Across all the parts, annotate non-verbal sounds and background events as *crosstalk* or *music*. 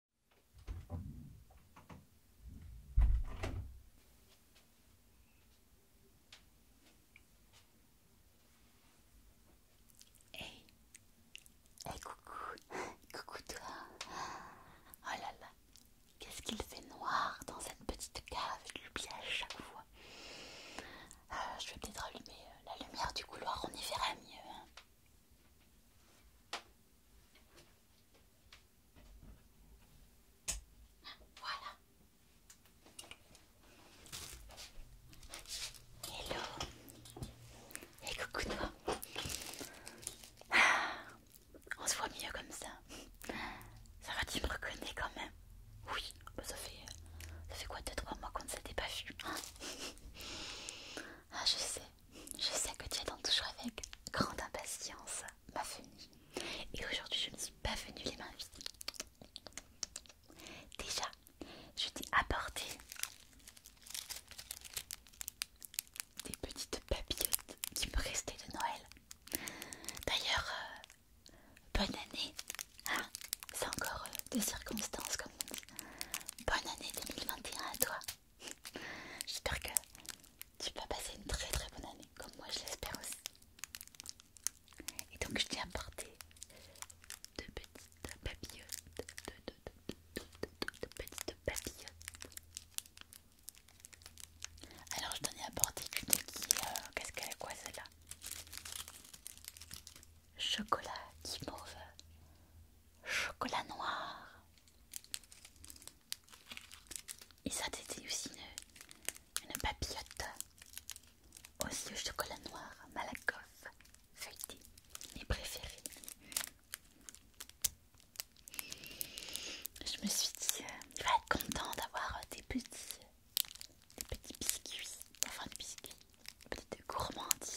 Hey, hey coucou, *laughs* coucou toi. Oh là là, qu'est-ce qu'il fait noir dans cette petite cave, je l'oublie à chaque fois. Euh, je vais peut-être allumer euh, la lumière du couloir, on y verra mieux. Hein. Voilà. Hello. Et coucou toi. Ah, on se voit mieux comme ça. Ça va, tu me reconnais quand même. Oui, bah, ça fait quoi de trois mois qu'on ne s'était pas vu. ah je sais. Je sais que tu attends toujours avec grande impatience ma venue. Et aujourd'hui, je ne suis pas venue les mains vides. Déjà, je t'ai apporté des petites papillotes qui me restaient de Noël. D'ailleurs, euh, bonne année. Hein. C'est encore euh, de circonstances comme Bonne année 2021 à toi. J'espère que tu vas passer une très très bonne année, comme moi je l'espère aussi. Et donc je t'ai apporté deux petites papillotes, deux, de petites papillotes. Alors je t'en ai apporté une qui est, euh, qu'est-ce qu'elle est quoi celle-là Chocolat qui mauve, euh, chocolat noir, et ça c'était aussi une, papillote aussi au chocolat noir Malakoff feuilleté, mes préférés. Je me suis dit, tu euh, vas être content d'avoir euh, des petits, des petits biscuits, enfin des biscuits, des petites gourmandises.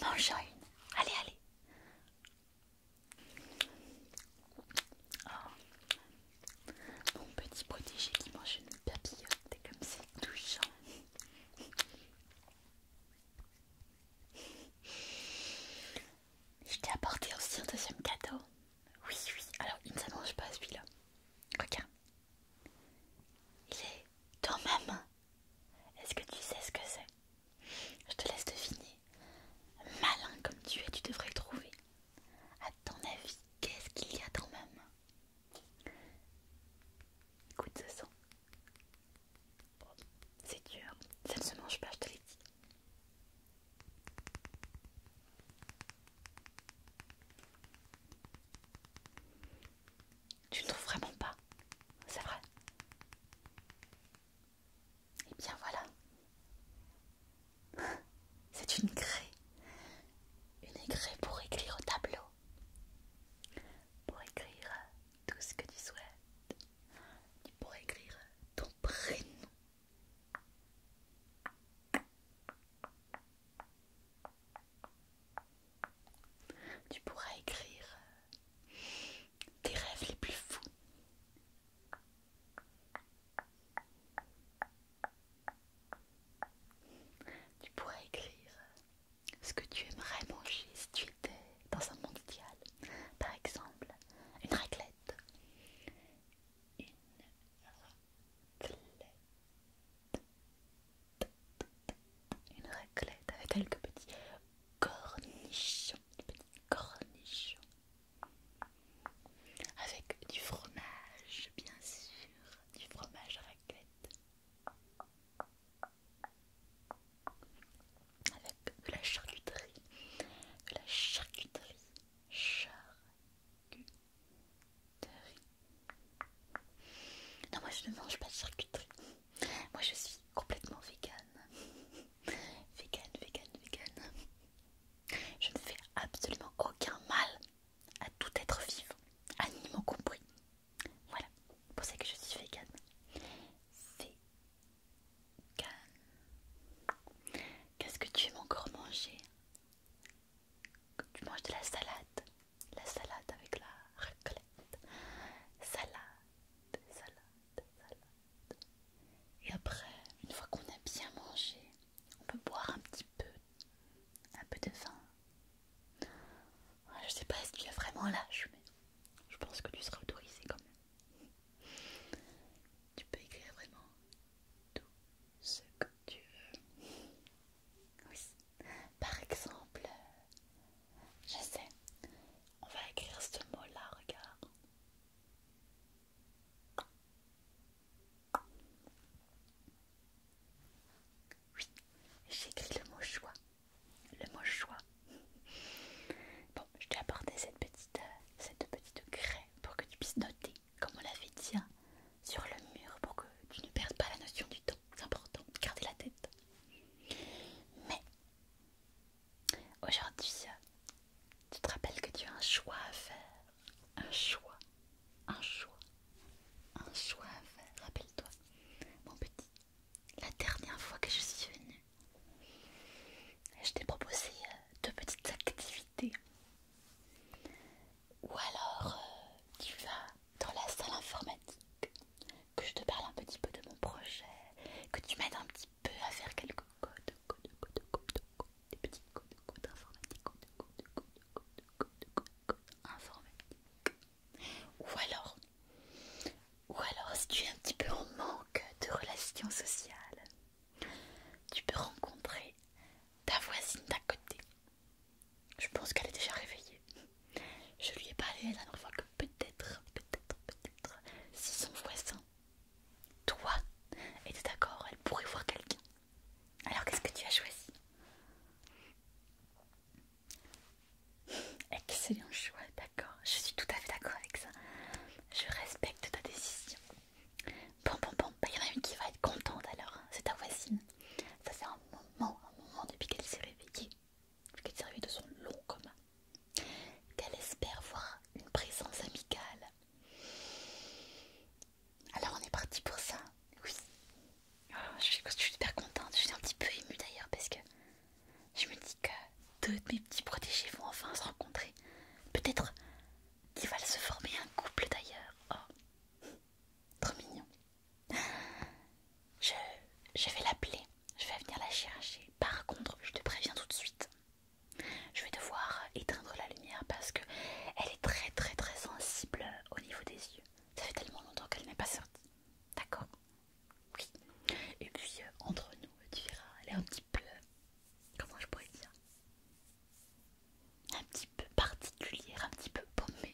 mange une. Allez, allez. Ah. Mon petit protégé qui mange une papillote, comme c'est touchant. Je t'ai apporté aussi un deuxième cadeau. Oui, oui, alors il ne s'arrange pas celui-là. Regarde, il est dans ma main. Est-ce que tu sais ce que c'est Je te laisse deviner. Malin comme tu es, tu devrais le trouver. À ton avis, qu'est-ce qu'il y a dans même Écoute ce son. c'est dur. Ça ne se mange pas, je te l'ai dit. Tu ne trouves vraiment pas C'est vrai Eh bien voilà. *laughs* C'est une craie. Une craie pour écrire au tableau. Pour écrire tout ce que tu souhaites. Pour écrire ton prénom. Tu pourras écrire euh, tes rêves les plus fous. Tu pourrais écrire euh, ce que tu aimerais manger si tu étais dans un monde idéal. Par exemple, une raclette. Une raclette une raclette avec quelques petits cornichons, petits cornichons avec du fromage, bien sûr, du fromage raclette avec de la charcuterie, de la charcuterie, charcuterie. Non, moi je ne mange pas de charcuterie. Moi je suis complètement végane. *laughs* Végane, végane, végane. Je ne fais absolument aucun mal à tout être vivant, animaux compris. Voilà, c'est pour ça que je suis végane. Vegan Qu'est-ce que tu aimes encore manger Tu manges de la salade la salade avec la raclette. Salade, salade, salade. Et après, une fois qu'on a bien mangé, on peut boire un petit peu, un peu de vin. Je sais pas si ce es vraiment lâche, mais je pense que tu seras autorisé quand même. Tu peux écrire vraiment tout ce que tu veux. Oui. Par exemple, je sais, on va écrire ce mot-là, regarde. Oui, j'écris le mot choix. Le mot choix. Bon, je t'ai apporté cette petite, euh, cette craie pour que tu puisses noter, comme on l'avait dit, hein, sur le mur pour que tu ne perdes pas la notion du temps. C'est important, garder la tête. Mais aujourd'hui, tu te rappelles que tu as un choix à faire. Un choix, un choix, un choix à faire. Rappelle-toi, mon petit, la dernière fois que je suis venue, je t'ai proposé euh, deux petites activités. Ou alors, euh, tu vas dans la salle informatique, que je te parle un petit peu de mon projet, que tu m'aides un petit peu à faire quelques codes, des petits codes, informatiques, Ou alors, ou alors, si tu es un petit peu en manque de relations sociales, tu peux rencontrer ta voisine d'à côté je pense qu'elle est déjà réveillée. Je lui ai parlé la dernière fois que peut-être, peut-être, peut-être, si son voisin, toi, était d'accord, elle pourrait voir quelqu'un. Alors qu'est-ce que tu as choisi Excellent choix, d'accord. Je suis tout à fait d'accord avec ça. Je respecte ta décision. Bon, bon, bon, bah, il y en a une qui va être contente alors. Hein. C'est ta voisine. Ça c'est un moment, un moment depuis qu'elle s'est réveillée qu'elle servait de son long commun, qu'elle espère voir une présence amicale. Alors on est parti pour ça, oui. Ah, je, suis, je suis super contente, je suis un petit peu émue d'ailleurs parce que je me dis que deux de mes petits protégés vont enfin se rencontrer. Peut-être qu'ils vont se former un couple d'ailleurs. Oh, trop mignon. Je, vais l'appeler, je vais venir la chercher. Par contre, je te préviens tout de suite. Je vais devoir éteindre la lumière parce que est très très très sensible au niveau des yeux. Ça fait tellement longtemps qu'elle n'est pas sortie. D'accord Oui. Et puis euh, entre nous, tu verras, elle est un petit peu comment je pourrais dire un petit peu particulière, un petit peu paumée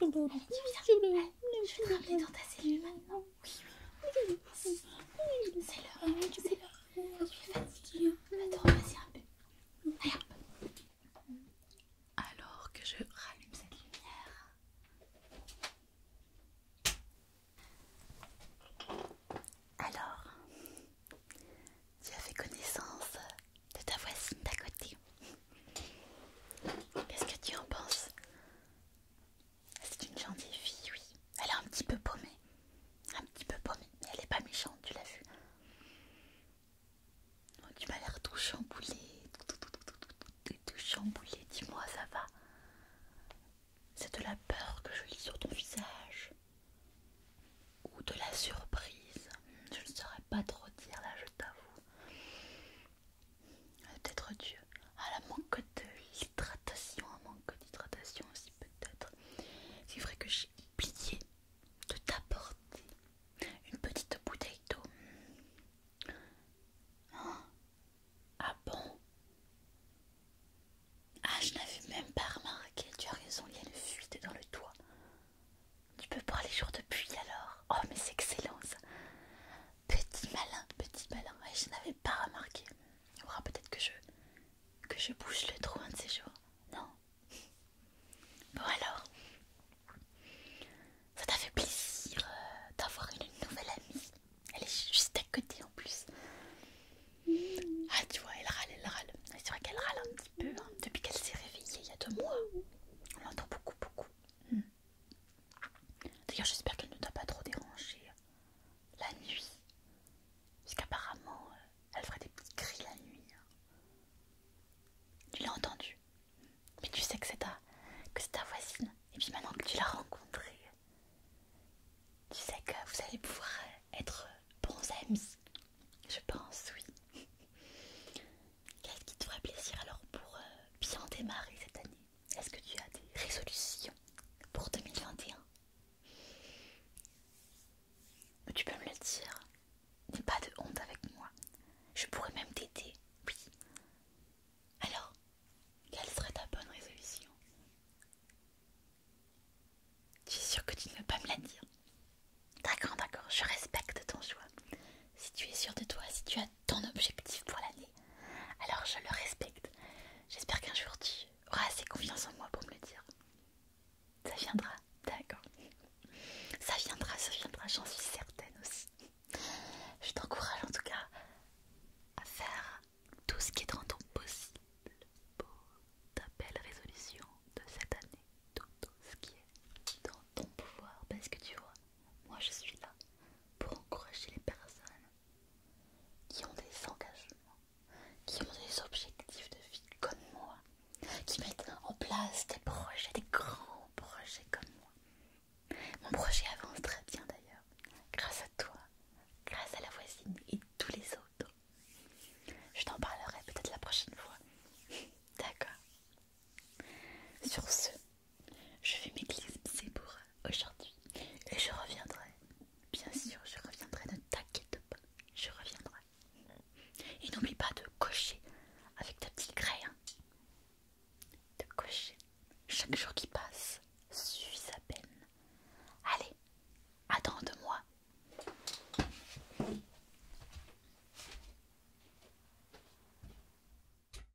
je vais te rappeler dans ta cellule maintenant. Oui, oui. C'est l'heure, c'est l'heure. Je y fatiguée. Va te repasser un peu. Alors que je rallume cette lumière. Alors, tu as fait connaissance de ta voisine d'à côté. Qu'est-ce que tu en penses C'est une gentille fille, oui. Elle est un petit peu paumée. Un petit peu paumée, mais elle n'est pas méchante, tu l'as vu. Oh, tu m'as l'air tout chamboulée Tout, tout, tout, dis-moi, ça va C'est de la peur que je lis sur ton visage ou de la surprise, je ne saurais pas trop dire là, je t'avoue. Ah, peut-être Dieu. Ah, la manque d'hydratation, un manque d'hydratation aussi peut-être. C'est vrai que j'ai oublié de t'apporter une petite bouteille d'eau. Hein? ah bon Ah, je n'avais même pas remarqué. Tu as raison, il y a une fuite dans le toit. Tu peux boire les jours de pluie alors Oh, mais c'est excellent Petit malin, petit malin, je n'avais pas remarqué. il faudra peut-être que je, bouge le trou un de ces jours. Non Bon alors, ça t'a fait plaisir euh, d'avoir une nouvelle amie. Elle est juste à côté en plus. Ah tu vois, elle râle, elle râle. C'est vrai qu'elle râle un petit peu hein. depuis qu'elle s'est réveillée il y a deux mois. On l'entend beaucoup, beaucoup. Hmm. D'ailleurs, j'espère qu'elle ne t'a pas trop dérangé euh, la nuit. Parce qu'apparemment, euh, elle ferait des petits cris la nuit. Hein. Tu l'as entendu. Mais tu sais que c'est ta, ta voisine. Et puis maintenant que tu l'as rencontrée, tu sais que vous allez pouvoir euh, être bons amis. Je pense, oui. *laughs* Qu'est-ce qui te ferait plaisir alors pour bien démarrer cette année est-ce que tu as des résolutions pour 2021 Tu peux me le dire. N'aie pas de honte avec moi. Je pourrais même t'aider. Oui. Alors, quelle serait ta bonne résolution Tu es sûre que tu ne veux pas me la dire D'accord, d'accord, je respecte ton choix. Si tu es sûre de toi, si tu as ton objectif pour l'année. Alors je le respecte. J'espère qu'un jour tu auras assez confiance en moi pour me le dire. Ça viendra, d'accord. Ça viendra, ça viendra, j'en suis certaine aussi. Je t'encourage en tout cas à faire tout ce qui est dans ton possible pour ta belle résolution de cette année. Tout, ce qui est dans ton pouvoir parce que tu vois, moi je suis là pour encourager les personnes qui ont des engagements, qui ont des objectifs de vie comme moi, qui mettent en place des projets, des grands projets comme moi. Mon projet avance très bien d'ailleurs, grâce à toi, grâce à la voisine et tous les autres. Je t'en parlerai peut-être la prochaine fois. *laughs* D'accord. Sur ce, je vais m'éclipser pour euh, aujourd'hui et je reviendrai. Bien sûr, je reviendrai, ne t'inquiète pas, je reviendrai. Et n'oublie pas de cocher avec ta petite craie. De cocher. Chaque jour qui passe suit sa peine. Allez, attends de moi.